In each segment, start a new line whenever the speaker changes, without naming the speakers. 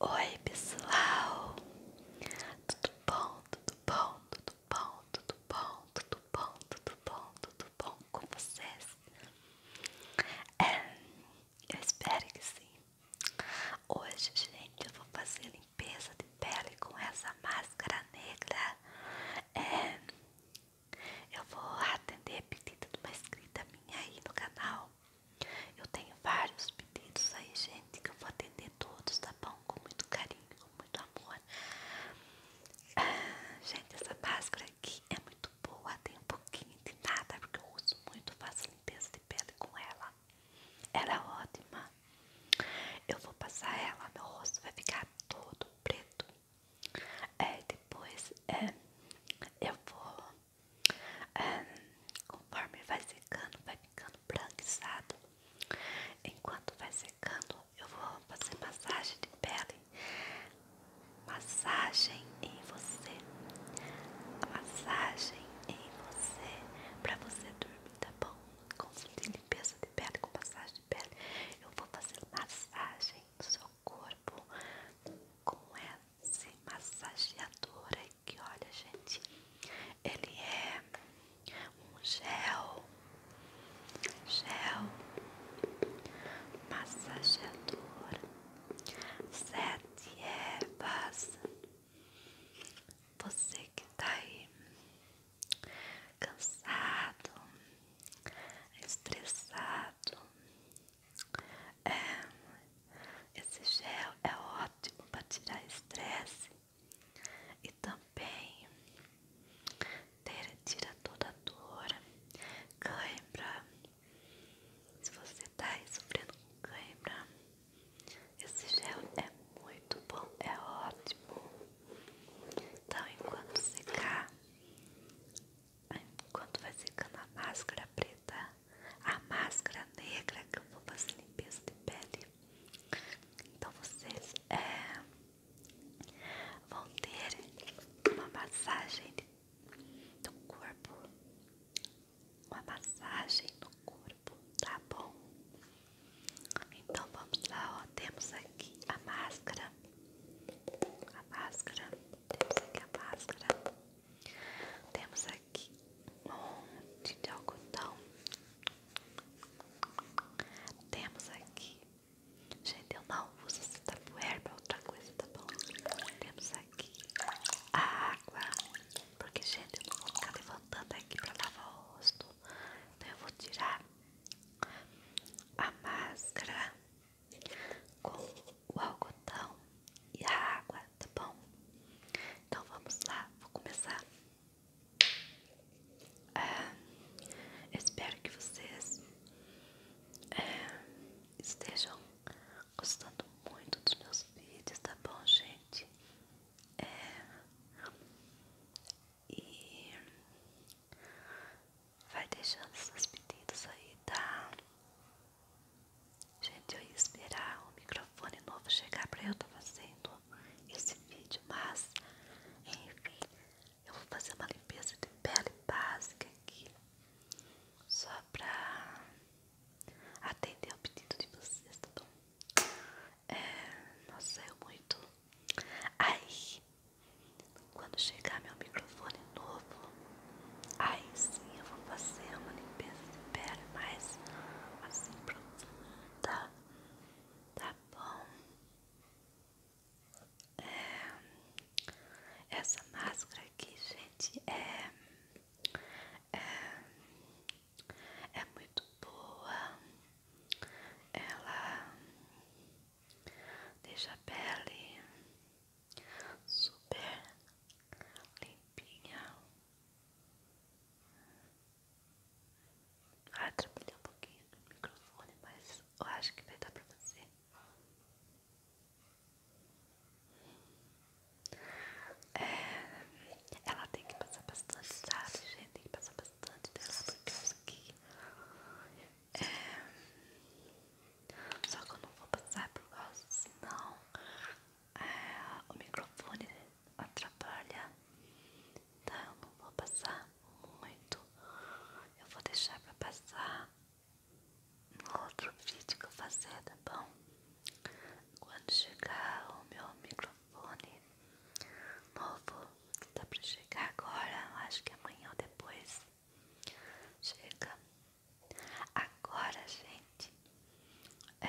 Oi pessoal, tudo bom, tudo bom, tudo bom, tudo bom, tudo bom, tudo bom, tudo bom com vocês? É, eu espero que sim. Hoje, gente, eu vou fazer limpeza de pele com essa máscara negra. É, eu vou atender a pedido de uma inscrita minha aí no canal eu tenho vários pedidos aí, gente, que eu vou atender todos, tá bom? Com muito carinho, com muito amor. Ah, gente, essa máscara aqui é muito boa, tem um pouquinho de nada, porque eu uso muito, faço limpeza de pele com ela. Ela é ótima. Eu vou passar ela, meu rosto vai ficar todo preto. É, depois é, eu vou conforme vai secando, vai ficando branqueado. Enquanto vai secando, eu vou fazer massagem de pele, massagem em você, massagem em você, para você dormir, tá bom? Com limpeza de pele com massagem de pele, eu vou fazer massagem no seu corpo com essa massageadora que olha, gente, ele é um gel, gel massageador, sete ervas. Você que tá aí cansado, estressado, é, esse gel é ótimo para tirar estresse e também tira toda a dor, cãibra. Se você está aí sofrendo com cãibra, esse gel é muito bom, é ótimo. Então, enquanto secar, enquanto vai secando a máscara preta, a máscara negra que eu vou fazer limpeza de pele. Então vocês é, vão ter uma massagem do corpo, uma massagem no corpo, tá bom? Então vamos lá, ó, temos aqui a máscara, a máscara, temos aqui a máscara. Temos aqui um monte de algodão. Temos aqui. Gente, eu não uso esse tapuer pra é outra coisa, tá bom? Temos aqui a água. Porque, gente, eu não vou ficar levantando aqui para lavar o rosto. Então eu vou tirar a máscara com o algodão e a água, tá bom? Então vamos lá, vou começar. Ah, espero que vocês é, estejam gostando muito dos meus vídeos, tá bom, gente? É, e vai deixando seus pedidos aí, tá? Gente, eu ia esperar o microfone novo chegar pra eu estar fazendo esse vídeo, mas enfim, eu vou fazer uma limpeza de pele básica aqui, só pra atender o pedido de vocês, tá bom? É, não saiu muito. Aí, quando chegar meu microfone novo, Aí sim eu vou fazer uma limpeza de pele mais assim profunda, tá bom? É, essa máscara aqui, gente, é, é, é muito boa, ela deixa a pele super limpinha. Vai ah, atrapalhar um pouquinho o microfone, mas eu acho que vai dar pra você. É, ela tem que passar bastante, sabe, gente? Tem que passar bastante dela, porque isso aqui é, Só que eu não vou passar por causa, senão o microfone atrapalha, então eu não vou passar muito, eu vou deixar pra passar no outro vídeo que eu fazer, tá bom? Quando chegar o meu microfone novo, que tá pra chegar agora, acho que amanhã ou depois, chega. Agora, gente, é...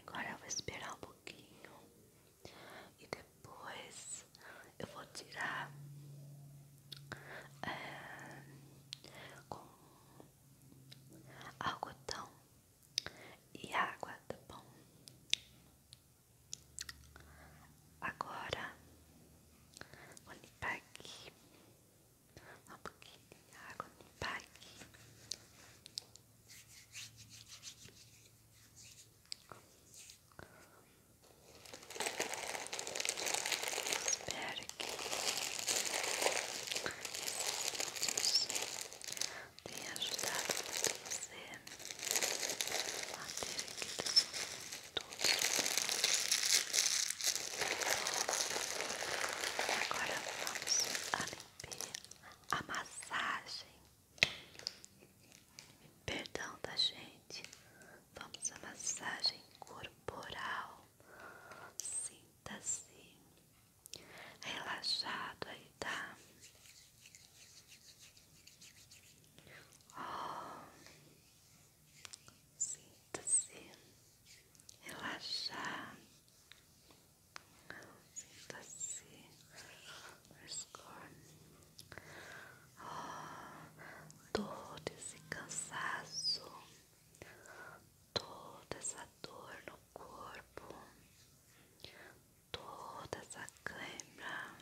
agora eu vou esperar um pouquinho e depois eu vou tirar é... com algodão e água, tá bom? Agora vou limpar aqui um pouquinho de água limpar aqui. Espero que esses tenha ajudado você a ter aqui tudo. Agora vamos a limpeza, a massagem. Perdão da tá, gente. Vamos a massagem corporal. sinta assim relaxado aí, tá? Oh, Sinta-se relaxado. Sinta-se frescor. Oh, todo esse cansaço, toda essa dor no corpo, toda essa câimbra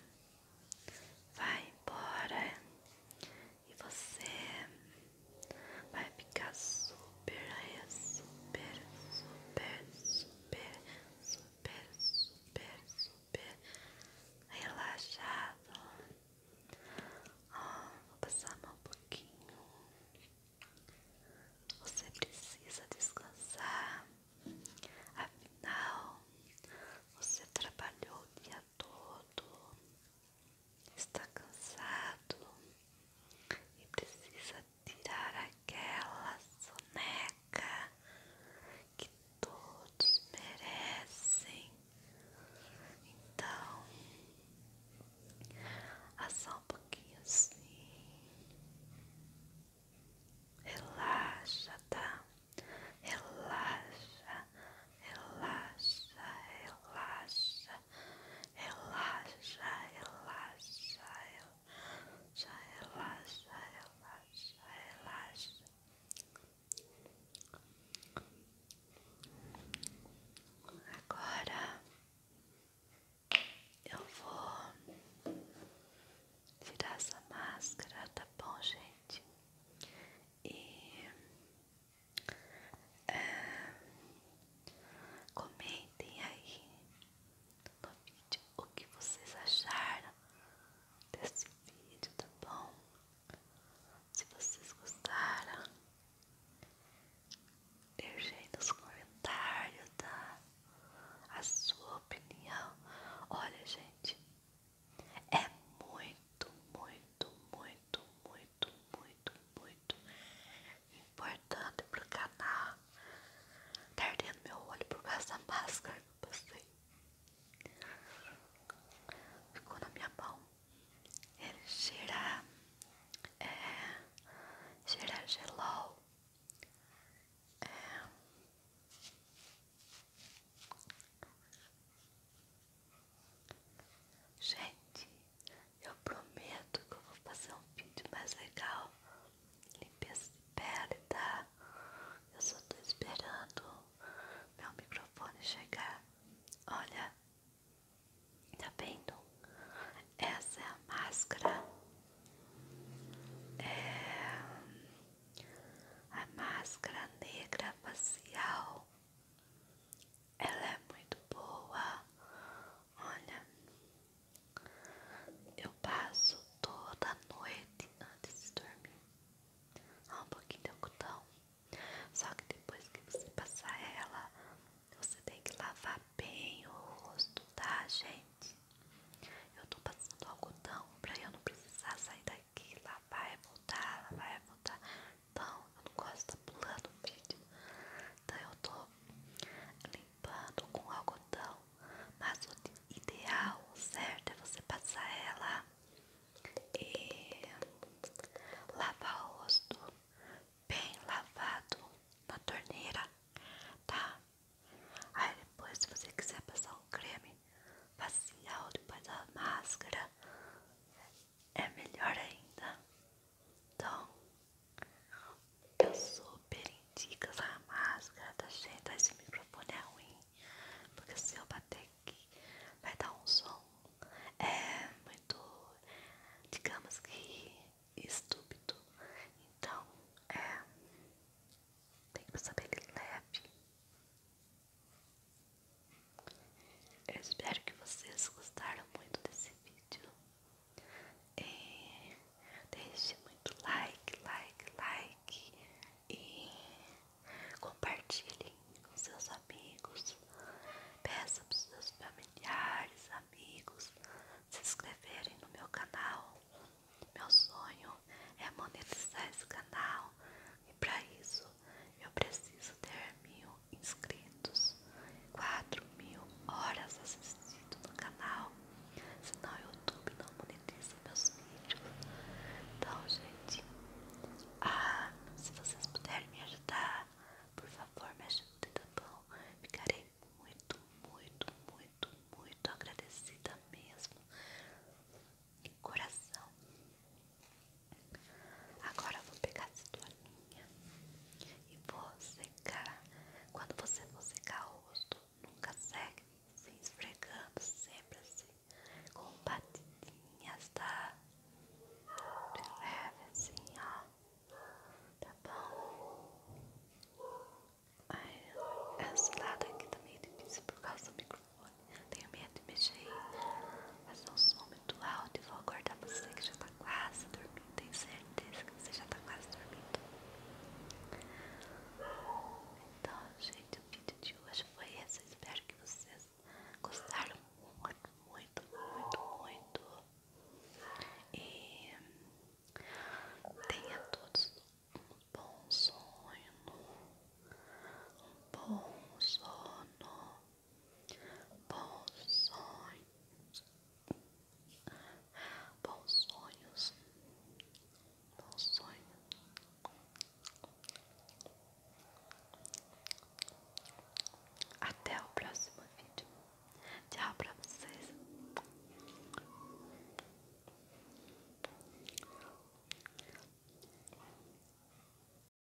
vai embora e você vai ficar super, super, super, super, super, super, super relaxado. Ah, vou passar mal um pouquinho. Você precisa descansar. Afinal, você trabalhou o dia todo está cansado e precisa tirar aquela soneca que todos merecem. Então, assar ah, um pouquinho assim. Relaxa, tá? Relaxa relaxa, relaxa, relaxa, relaxa, relaxa, relaxa, relaxa, relaxa. Agora eu vou tirar essa máscara, tá bom, gente? E ah, comentem aí no vídeo o que vocês acharam desse vídeo, tá bom? Se vocês gostaram, deixem nos comentários, tá? A sua opinião. Olha, gente, é muito, muito, muito, muito, muito muito, muito importante o canal. Tá ardendo meu olho por causa da máscara que eu passei. Ficou na minha mão. Ele cheira. É. Cheira gelol. É. Gente, eu prometo que eu vou fazer um vídeo mais legal. Limpeza de pele, tá? Eu só tô esperando meu microfone chegar. Olha, tá vendo? Essa é a máscara. É a máscara negra facial. Ela é muito boa. Olha, eu passo toda noite antes de dormir. Um pouquinho de algodão. Só que depois que você passar ela, você tem que lavar bem o rosto, tá, gente? Eu tô passando algodão pra eu não precisar sair daqui, lavar e voltar, lavar e voltar. Então eu não gosto de estar pulando o vídeo. Então eu estou limpando com algodão. Mas o ideal, certo, é você passar ela e lavar o rosto bem lavado na torneira, tá? Aí depois, se você quiser passar um creme facial depois da máscara, é melhor ainda. Então, eu super indico essa máscara da gente. Esse microfone é ruim, porque se eu bater aqui, vai dar um som. É muito, digamos que, estúpido. Então, é. Tem que saber que leve. Eu espero que vocês gostaram muito desse vídeo. É, deixe muito like, like, like e compartilhem com seus amigos. Peça para os seus familiares, amigos, se inscreverem no meu canal. Meu sonho é monetizar esse canal e para isso eu preciso ter mil inscritos, 4 mil horas assistidas no canal. Senão o YouTube não monetiza meus vídeos. Então, gente, ah, se vocês puderem me ajudar, por favor, me ajudem, tá bom? Ficarei muito, muito, muito, muito agradecida mesmo. E coração. Agora eu vou pegar essa toalhinha e vou secar. Quando você for secar o rosto, nunca segue se esfregando, sempre assim, com batidinhas, tá? De leve assim, ó. Tá bom? Ai, esse lado aqui também meio é difícil por causa do microfone. Tenho medo de mexer. Mas é um som muito alto e vou acordar você que já tá quase dormindo. Tenho certeza que você já tá quase dormindo. Então, gente, o vídeo de hoje foi esse. espero que vocês gostaram muito, muito, muito, muito. E tenha todos um bom sono. Um bom sono. Bons sonhos. Bons sonhos. Bons sonhos. Até o próximo vídeo. Tchau pra vocês.